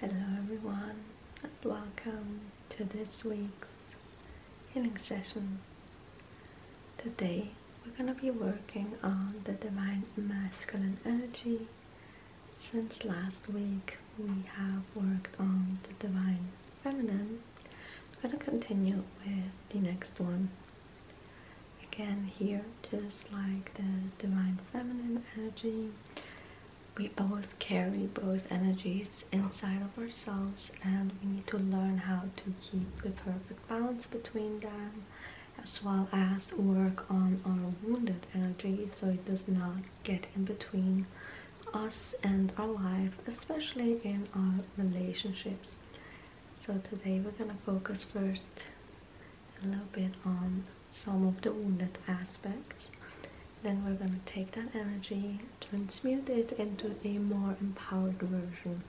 Hello everyone and welcome to this week's healing session. Today we're going to be working on the divine masculine energy. Since last week we have worked on the divine feminine. We're going to continue with the next one again here just like the divine feminine energy we both carry both energies inside of ourselves and we need to learn how to keep the perfect balance between them as well as work on our wounded energy so it does not get in between us and our life especially in our relationships so today we're gonna focus first a little bit on some of the wounded aspects. Then we're going to take that energy, transmute it into a more empowered version.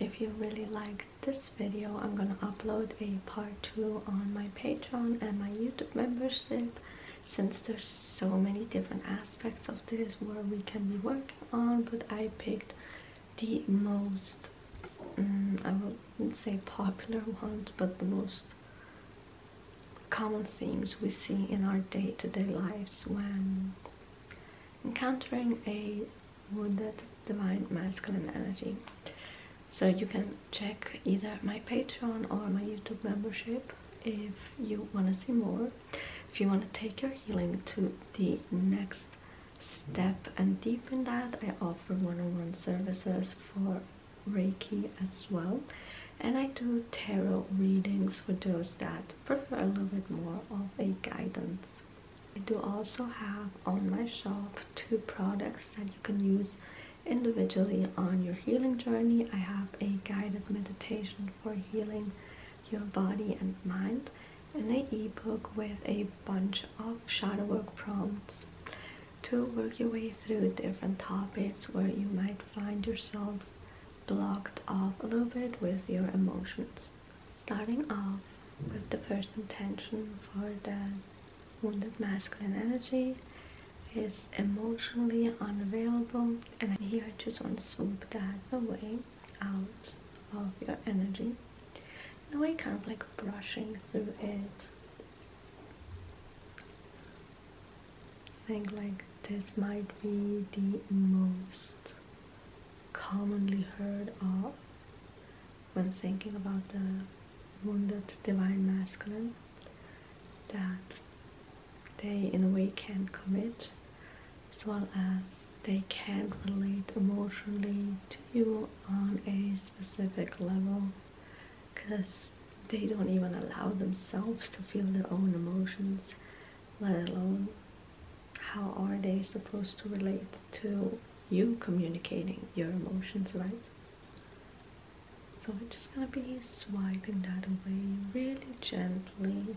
If you really like this video, I'm going to upload a part 2 on my Patreon and my YouTube membership since there's so many different aspects of this where we can be working on, but I picked the most Mm, I wouldn't say popular ones, but the most common themes we see in our day-to-day -day lives when encountering a wounded divine masculine energy. So you can check either my Patreon or my YouTube membership if you want to see more, if you want to take your healing to the next step and deepen that. I offer one-on-one services for Reiki as well. And I do tarot readings for those that prefer a little bit more of a guidance. I do also have on my shop two products that you can use individually on your healing journey. I have a guided meditation for healing your body and mind and an ebook with a bunch of shadow work prompts to work your way through different topics where you might find yourself blocked off a little bit with your emotions. Starting off with the first intention for the wounded masculine energy is emotionally unavailable and here I just want to sweep that away out of your energy in a way, kind of like brushing through it I think like this might be the most commonly heard of when thinking about the wounded divine masculine that they in a way can commit as well as they can relate emotionally to you on a specific level because they don't even allow themselves to feel their own emotions, let alone how are they supposed to relate to you communicating your emotions, right? So I'm just gonna be swiping that away really gently.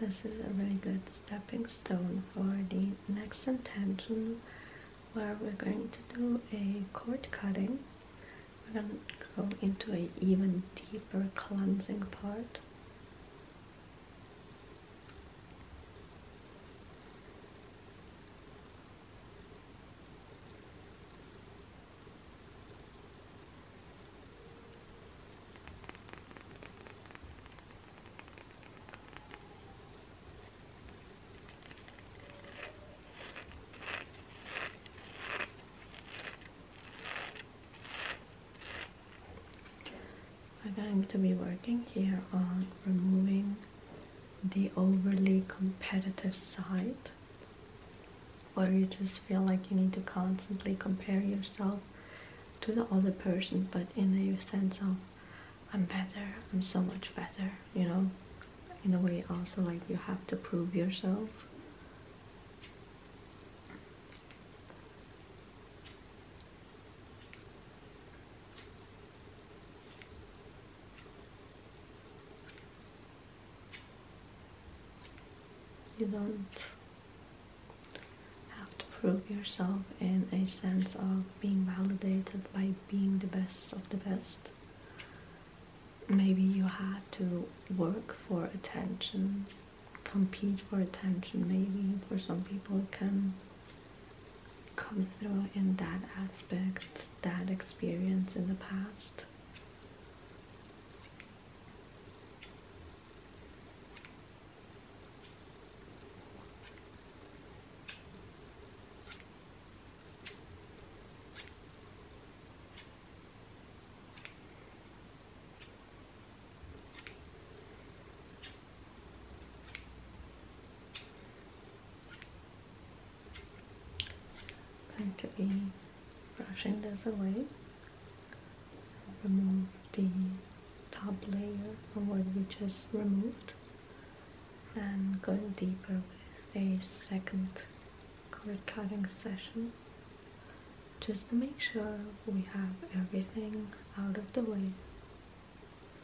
This is a really good stepping stone for the next intention where we're going to do a cord cutting. We're going to go into an even deeper cleansing part. I'm going to be working here on removing the overly competitive side where you just feel like you need to constantly compare yourself to the other person but in a sense of I'm better, I'm so much better, you know in a way also like you have to prove yourself you don't have to prove yourself in a sense of being validated by being the best of the best. Maybe you had to work for attention, compete for attention, maybe for some people it can come through in that aspect, that experience in the past going to be brushing this away remove the top layer of what we just removed and going deeper with a second card cutting session just to make sure we have everything out of the way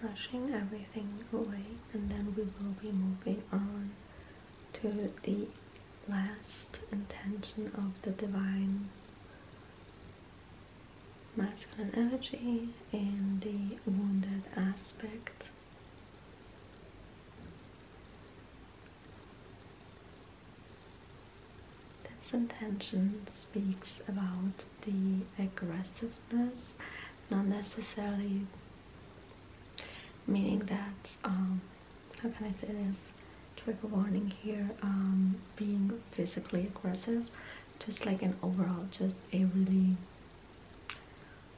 brushing everything away and then we will be moving on to the last intention of the divine masculine energy and the wounded aspect. This intention speaks about the aggressiveness, not necessarily meaning that, um, how can I say this? Trigger warning here, um, being physically aggressive, just like an overall, just a really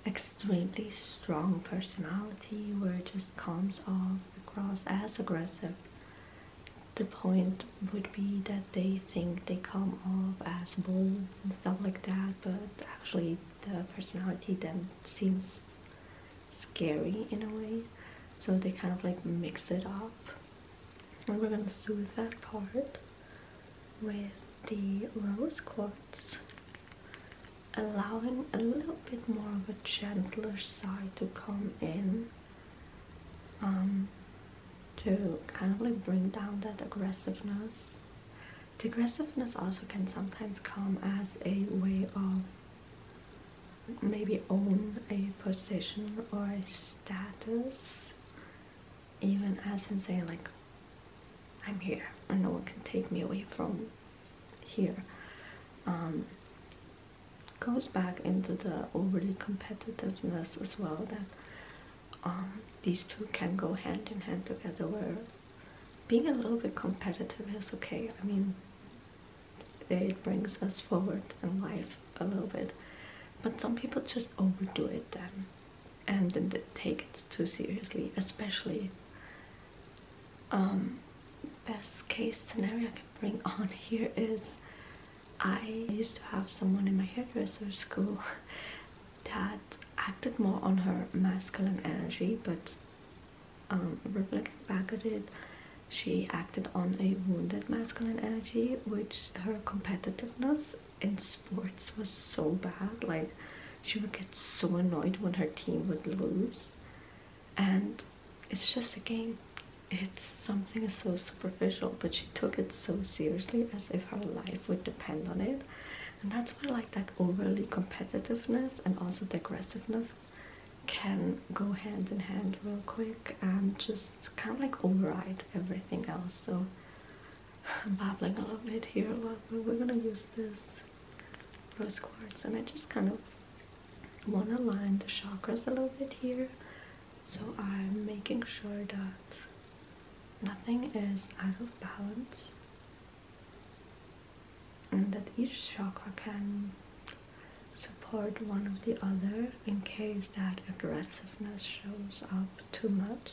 extremely strong personality where it just comes off across as aggressive. The point would be that they think they come off as bold and stuff like that, but actually the personality then seems scary in a way. So they kind of like mix it up and we're going to soothe that part with the rose quartz allowing a little bit more of a gentler side to come in um, to kind of like bring down that aggressiveness the aggressiveness also can sometimes come as a way of maybe own a position or a status even as in saying like, I'm here and no one can take me away from here. Um, goes back into the overly competitiveness as well that um, these two can go hand in hand together where being a little bit competitive is okay. I mean, it brings us forward in life a little bit. But some people just overdo it then and didn't take it too seriously, especially um, best case scenario I can bring on here is I used to have someone in my hairdresser school that acted more on her masculine energy but um, reflecting back at it she acted on a wounded masculine energy which her competitiveness in sports was so bad. Like she would get so annoyed when her team would lose. And it's just a game. It's something so superficial, but she took it so seriously as if her life would depend on it. And that's where like that overly competitiveness and also the aggressiveness can go hand in hand real quick and just kind of like override everything else. So I'm babbling a little bit here a lot, but we're gonna use this rose quartz and I just kind of want to line the chakras a little bit here. So I'm making sure that nothing is out of balance and that each chakra can support one of the other in case that aggressiveness shows up too much.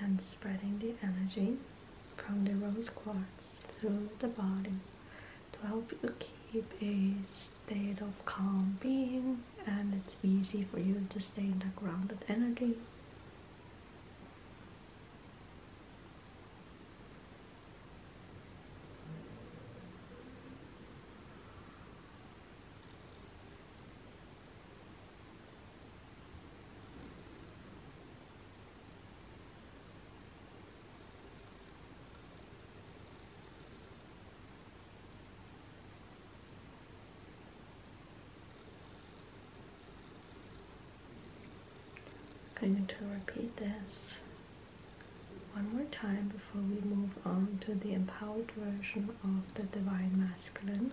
and spreading the energy from the rose quartz through the body to help you keep a state of calm being and it's easy for you to stay in the grounded energy I'm going to repeat this one more time before we move on to the empowered version of the Divine Masculine.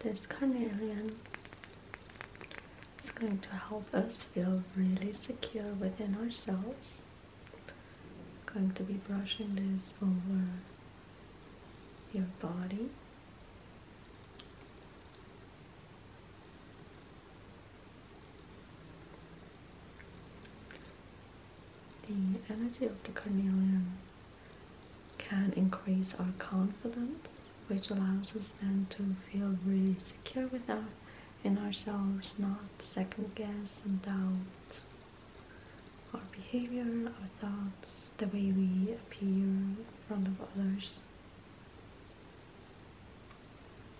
This carnelian is going to help us feel really secure within ourselves. I'm going to be brushing this over your body. The energy of the carnelian can increase our confidence, which allows us then to feel really secure with ourselves, not second guess and doubt our behavior, our thoughts, the way we appear in front of others.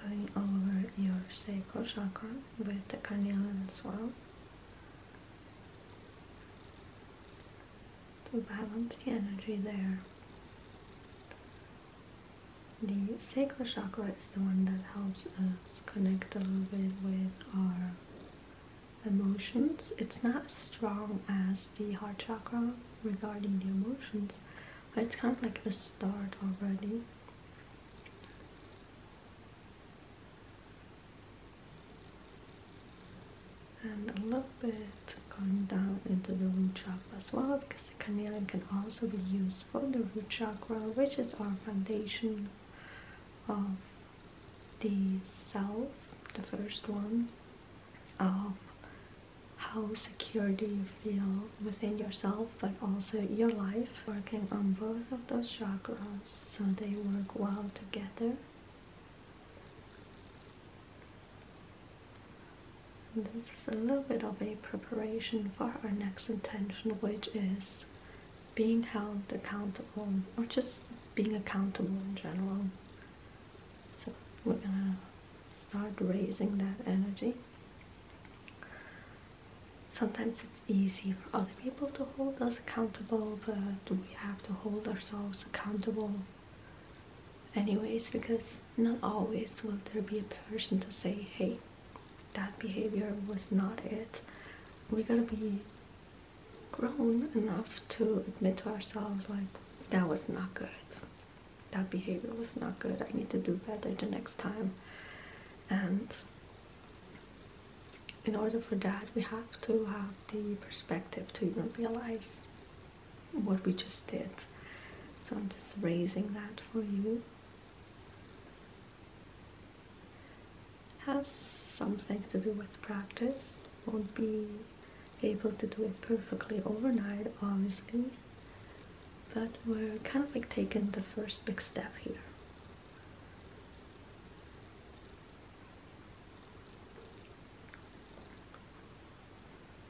Going over your sacral chakra with the carnelian as well to balance the energy there. The sacral chakra is the one that helps us connect a little bit with our emotions. It's not as strong as the heart chakra regarding the emotions, but it's kind of like a start already. And a little bit going down into the root chakra as well because the carnelian can also be used for the root chakra, which is our foundation of the self, the first one, of how secure do you feel within yourself but also your life working on both of those chakras so they work well together this is a little bit of a preparation for our next intention, which is being held accountable or just being accountable in general. So we're gonna start raising that energy. Sometimes it's easy for other people to hold us accountable, but we have to hold ourselves accountable anyways because not always will there be a person to say, hey, that behavior was not it. We gotta be grown enough to admit to ourselves, like, that was not good. That behavior was not good. I need to do better the next time. And in order for that, we have to have the perspective to even realize what we just did. So I'm just raising that for you has something to do with practice won't be able to do it perfectly overnight obviously but we're kind of like taking the first big step here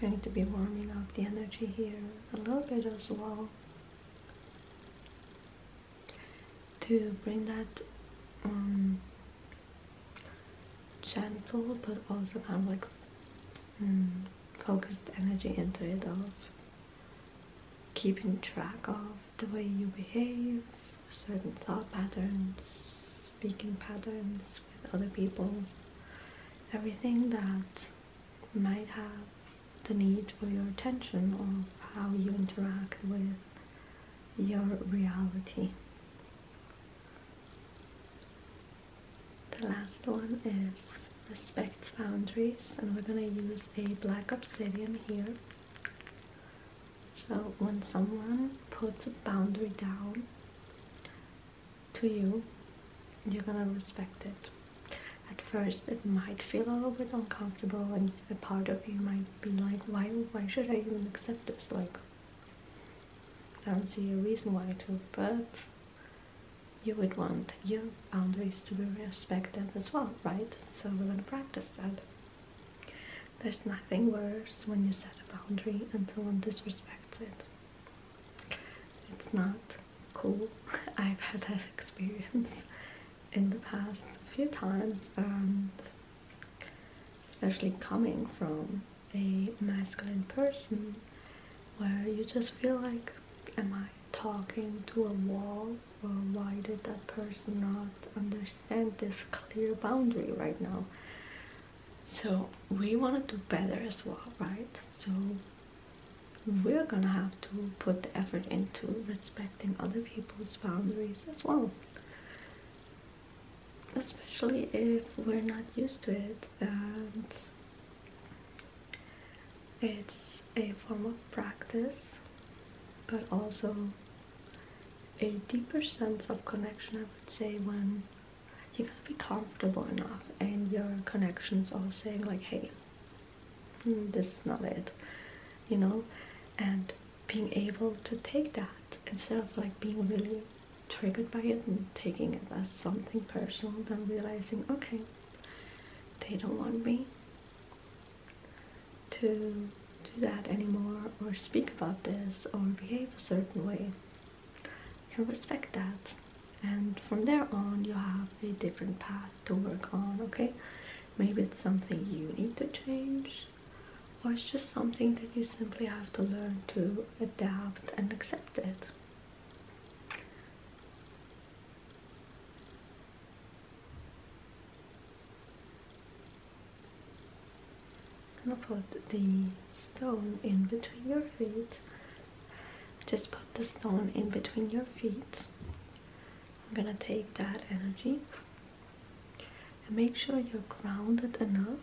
Going to be warming up the energy here a little bit as well to bring that um, gentle but also kind of like mm, focused energy into it of keeping track of the way you behave, certain thought patterns, speaking patterns with other people, everything that might have the need for your attention of how you interact with your reality. The last one is respects boundaries and we're gonna use a black obsidian here. So when someone puts a boundary down to you, you're gonna respect it. At first it might feel a little bit uncomfortable and a part of you might be like, why, why should I even accept this? Like, I don't see a reason why to, but you would want your boundaries to be respected as well, right? So we're gonna practice that. There's nothing worse when you set a boundary and someone disrespects it. It's not cool. I've had that experience in the past a few times, and especially coming from a masculine person where you just feel like am I talking to a wall or why did that person not understand this clear boundary right now so we want to do better as well right so we're gonna have to put the effort into respecting other people's boundaries as well especially if we're not used to it and it's a form of practice but also a deeper sense of connection I would say when you gotta be comfortable enough and your connections are saying like hey mm, this is not it you know and being able to take that instead of like being really triggered by it and taking it as something personal then realizing okay they don't want me to do that anymore or speak about this or behave a certain way you respect that and from there on you have a different path to work on okay maybe it's something you need to change or it's just something that you simply have to learn to adapt and accept it. I'm gonna put the stone in between your feet. Just put the stone in between your feet. I'm gonna take that energy and make sure you're grounded enough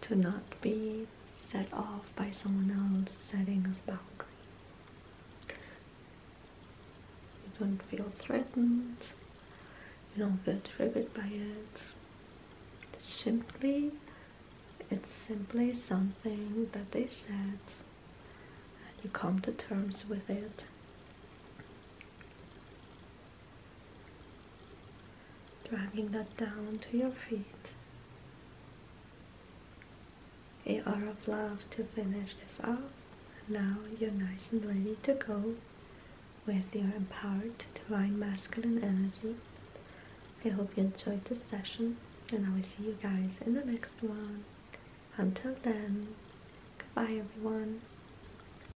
to not be set off by someone else setting us boundary. You don't feel threatened, you don't get triggered by it. simply, it's simply something that they said and you come to terms with it dragging that down to your feet. A aura of love to finish this off. Now you're nice and ready to go with your empowered divine masculine energy. I hope you enjoyed this session and I will see you guys in the next one. Until then, goodbye everyone.